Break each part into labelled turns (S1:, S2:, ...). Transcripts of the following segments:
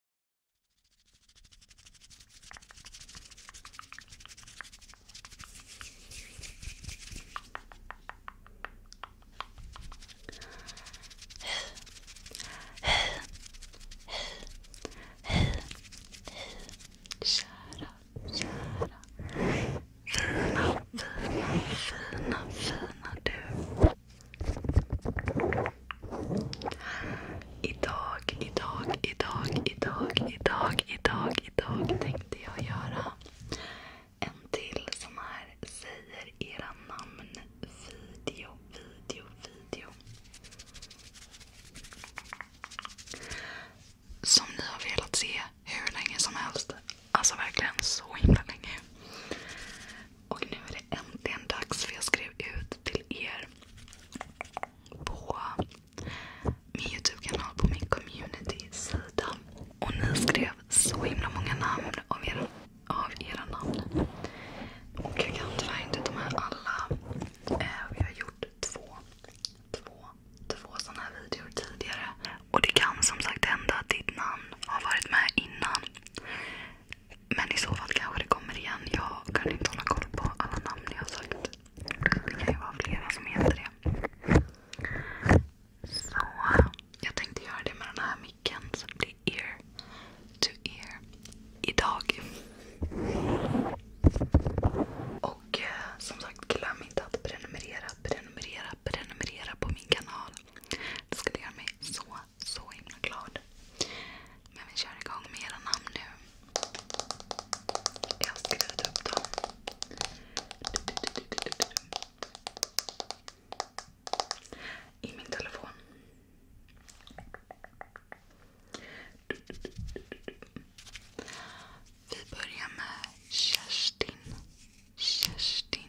S1: Hej, hej, hej, hej, kära, kära, fina, fina, fina, fina du. Idag, idag, idag, idag, idag, idag, idag tänkte jag göra en till sån här säger era namn video, video, video. Som ni har velat se hur länge som helst. Alltså verkligen så himla länge. Och nu är det äntligen dags för jag skrev ut till er på min Youtube-kanal, på min community-sida. Och ni skrev så himla många namn av era, av era namn. Och jag kan tyvärr inte ta med alla. Eh, vi har gjort två, två, två sådana här videor tidigare. Och det kan som sagt hända att ditt namn har varit med innan. Men i så fall kanske det kommer igen. Jag kan inte hålla koll på alla namn jag har sagt. Det kan ju vara flera som heter det. Så jag tänkte göra det med den här micken så det blir ear to ear idag. Och eh, som sagt glöm inte att prenumerera, prenumerera, prenumerera på min kanal. Det skulle göra mig så så himla glad. Men vi kör igång med era namn nu. Jag har upp dem. I min telefon. Vi börjar med Kerstin. Kerstin.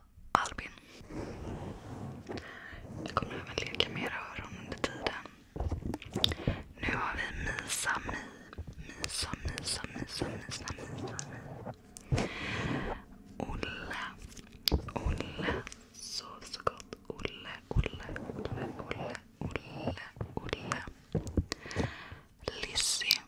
S1: Albin. Jag kommer även leka med era öron under tiden. Nu har vi Misa Mi. Misa, Misa, Misa, Misa, Misa, Olle. Olle. Sov så gott. Olle, Olle, Olle, Olle, Olle, Olle. Lizzie.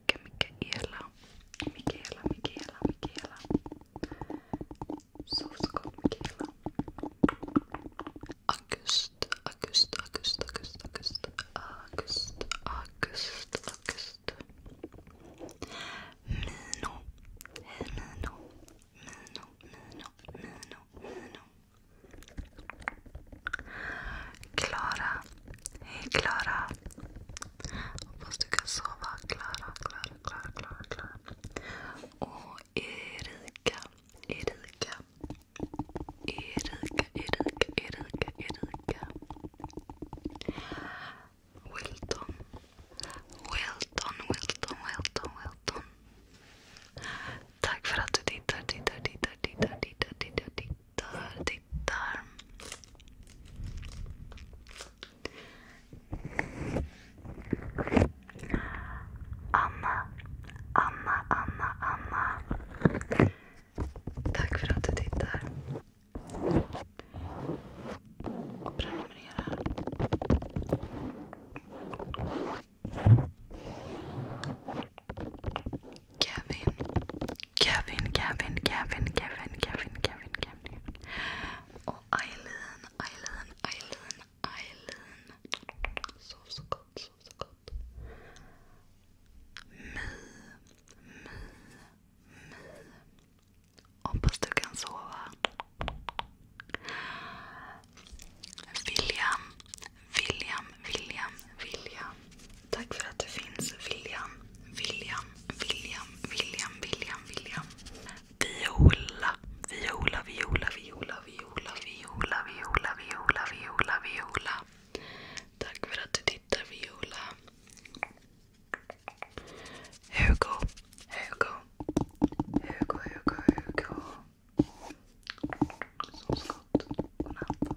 S1: Mika, Mikaela. Mikaela, Mikaela, Mikaela. Sovskål Mikaela. august, august, august, august. August, august, august. Mino. Hej Mino. Mino, Mino, Mino, Mino. Klara. Hej Klara. Hoppas du kan sova. Klara, Klara, Klara, Klara, Och Erika, Erika. Erika, Erika, Erika, Erika. Wilton. Wilton, Wilton, Wilton, Wilton. Tack för att du tittar, tittar, tittar, tittar, tittar, tittar, tittar tittar. Anna, Anna, Anna, Anna. Tack för att du tittar. Och Kevin. Kevin, Kevin, Kevin, Kevin, Kevin, Kevin, Kevin. Och Eileen, Eileen, Eileen, Eileen. Sov så gott, sov så gott. My, my, my. Hoppas du kan sova. William, William, William, William. Tack för att du finns William, William, William, William, William, William. Viola, Viola, Viola, Viola, Viola, Viola, Viola, Viola, Viola, Viola. Tack för att du tittar Viola. Hugo, Hugo, Hugo, Hugo, Hugo. Som skott. natt.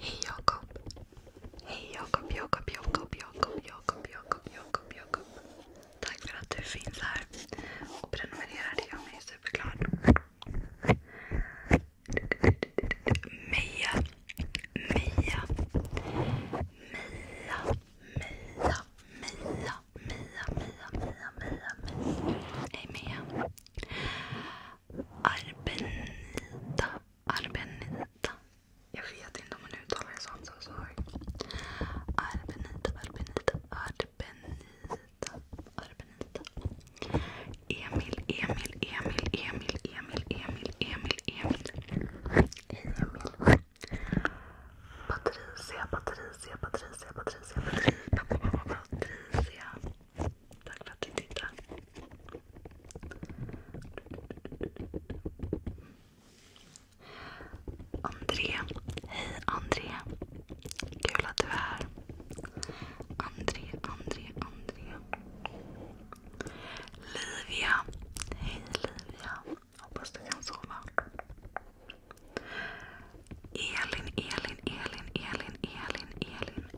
S1: Hej Jakob. Hej Jakob, Jakob, Jakob, Jakob, Jakob, Jakob, Jakob, Jakob. Tack för att du finns här och prenumererar. Det gör mig superglad. Meja, Meja, Meja, Meja, Meja, Meja, Meja, Meja, Meja. Hej Meja. Arbenita. Arbenita. Jag vet inte om man uttalar det så. I'm Arbenita, Arbenita, Arbenita, Arbenita. Emil, Emil, Emil, Emil, Emil, Emil, Emil, Emil. Hej Emil. Patricia, Patricia, Patricia, Patricia, Patricia, Patricia. Tack för att du tittar. André. Hej André. Kul att du är här. André, André, André. Livia. Hej Livia. Hoppas du kan sova. Elin, Elin, Elin, Elin, Elin, Elin.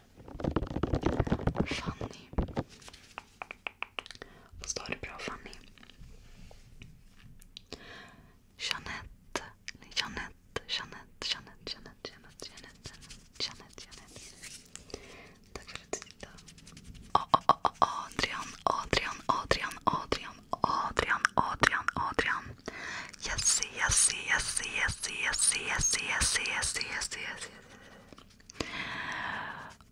S1: Fanny. Vad står det bra Fanny? Jeanette. Jeanette. Jeanette. Jeanette. Tack för att du tittade. Adrian. Adrian. Adrian. yes, yes, yes, yes, yes, yes, yes, yes, yes, yes.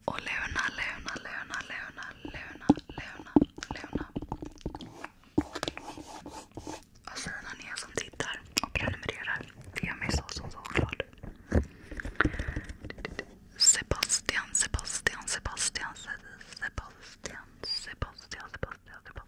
S1: Och Luna, Luna, Luna, Luna, Luna, Luna, Luna. Vad fina ni är som tittar och prenumererar. Det gör mig så, så, så glad. Sebastian, Sebastian, Sebastian, Sebastian, Sebastian, Sebastian, Sebastian,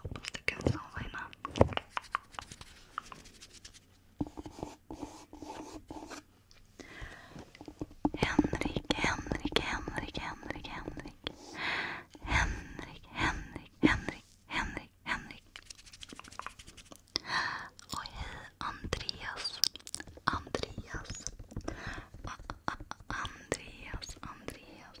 S1: Hoppas du kan sova i Henrik, Henrik, Henrik, Henrik, Henrik. Henrik, Henrik, Henrik, Henrik, Henrik. Och hej Andreas. Andreas. Andreas, Andreas.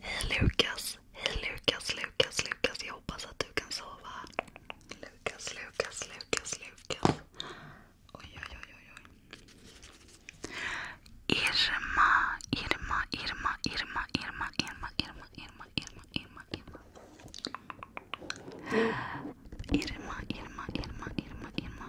S1: Hej Lukas. Hej Lukas, Lukas, Lukas. Jag hoppas att du kan sova. Lukas, Lukas, Lukas, Lukas. Oj, oj, oj, Irma, Irma, Irma, Irma, Irma, Irma, Irma, Irma, Irma, Irma. Irma, Irma, Irma, Irma, Irma.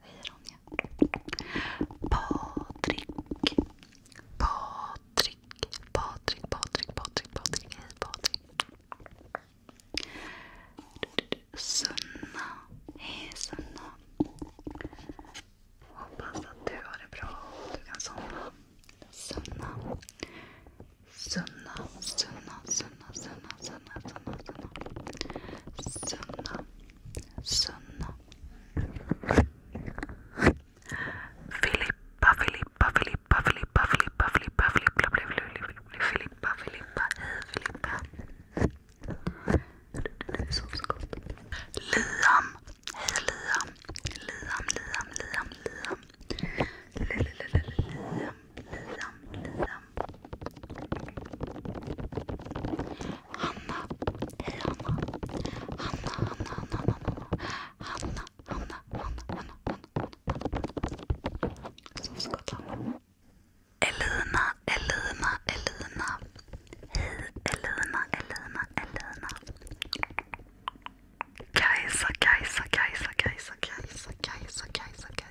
S1: Hej Ronja. Patrik. Patrik. Patrik, Patrik, Patrik, Hej Patrik. Sunna. Hej Sunna. Hoppas att du har det bra du kan somna. Sunna. Sunna, Sunna, Sunna. sunna, sunna, sunna, sunna, sunna, sunna, Filippa, Filippa, Filippa, Filippa, Filippa, Filippa, Filippa, Filippa, Filippa, Filippa, Filippa, Liam, hej Liam, Liam, Liam, Liam, Liam, Liam, Liam, Lisa, Lisa. Hanna, hej Hanna. Hanna, Hanna, Hanna, Hanna, Hanna, Hanna, Hanna, Hanna. Som Skottland. Elina, Elina, Elina. Hej Elina, Elina, Elina. Kajsa, Kajsa, Kajsa, Kajsa, Kajsa, Kajsa, Kajsa,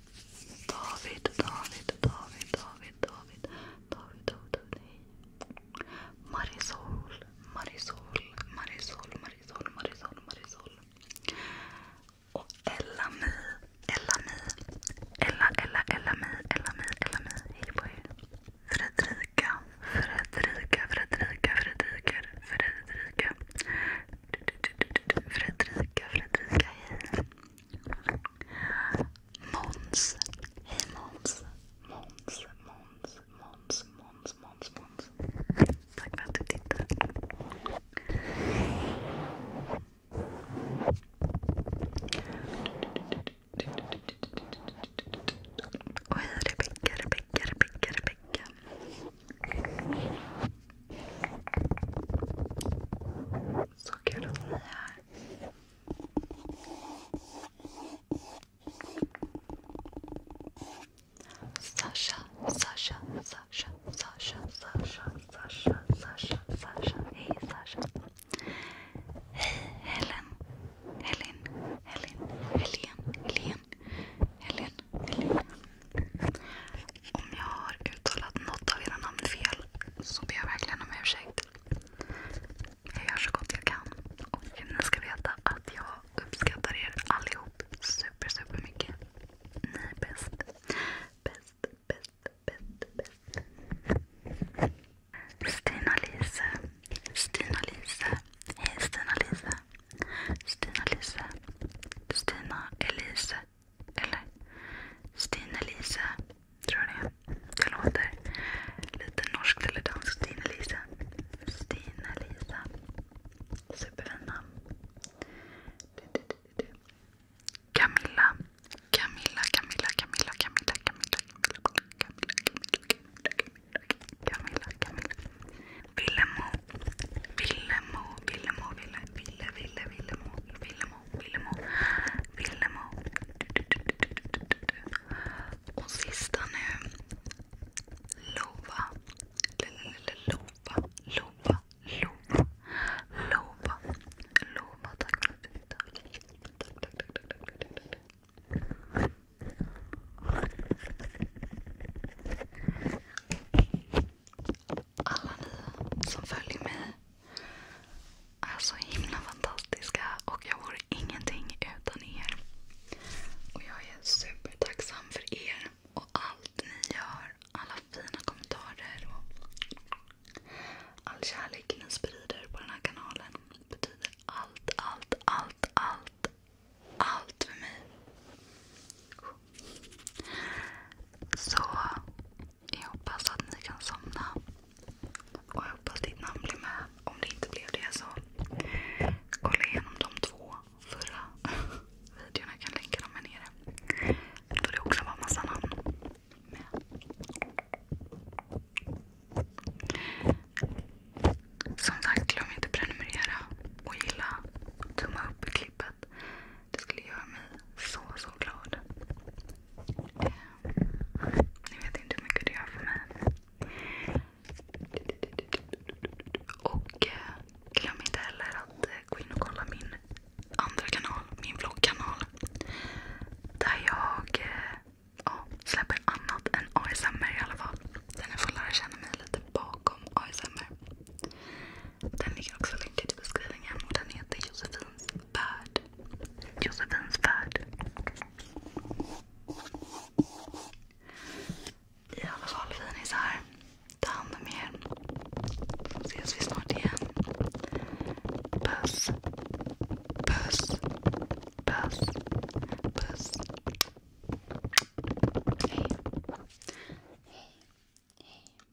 S1: David, David, David, David, David, David, David, nej. Marisol, Marisol, Marisol, Marisol, Marisol, Marisol. Och Ellami, Ellami, Ella, Ella, Ellami, Ellami, Ellami. Hej på er. Fredrika, Fredrika, Fredrika, Fredrika, Fredrika. Fredrika, Fredrika, hej. Måns. Hej Måns. Måns, Måns, Måns, Måns, Måns, Måns. Tack för att du tittar. Och hej Rebecka, Rebecka, Rebecka, Rebecka. Så kul att ni är här. Sasha, Sasha, Sasha, Sasha, Sasha, Sasha, Sasha, Sasha. Hej Sasha. Hej Helen. Helen, Helen, Helen, Helen, Helen, Helen om jag har uttalat något av era namn fel så ber jag verkligen om ursäkt. Jag gör så gott jag kan. Och ni ska veta att jag uppskattar er allihop super, super Ni är bäst. Bäst, bäst, bäst, bäst. Stina Lise. Stina Lise. Hej Stina Lise. Stina Lise. Stina Elise. Eller Stine-Lise, tror jag det är. Det låter lite norskt eller danskt. Stine-Lise. Stine-Lise. Superfint namn. Camilla. Camilla, Camilla, Camilla, Camilla, Camilla, Camilla, Camilla, Camilla, Camilla, Camilla. Villemo. Villemo, Villemo, Ville, Ville, Ville, Villemo, Villemo. Villemo, Villemo. Och sista nu. Lova. Lova, Lova, Lova. Lova, Lova. Tack alla ni som följer mig är så himla fantastiska och jag vore ingenting utan er. Och jag är supertacksam för er och allt ni gör. Alla fina kommentarer och all kärlek ni sprider på den här kanalen betyder allt, allt, allt, allt, allt för mig. Så jag hoppas att ni kan somna. Och jag hoppas ditt namn blir med. Om det inte blev det så kolla igenom de två förra videorna. Jag kan länka dem här nere. Då det också var massa namn med. Som sagt, glöm inte prenumerera och gilla. Tumma upp klippet. Det skulle göra mig så, så glad. Ni vet inte hur mycket det gör för mig. Och eh, glöm inte heller att eh, gå in och kolla min andra kanal, min vloggkanal. Där jag eh, ja, släpper annat än ASMR i alla fall. Där ni får lära känna mig lite bakom ASMR. Den ligger också länkad i beskrivningen och den heter Josefins värld. Josefins värld. I alla fall finisar. Ta hand om er. Ses vi snart igen. Puss. Puss. Puss. Puss. Hej. Hej. Hej.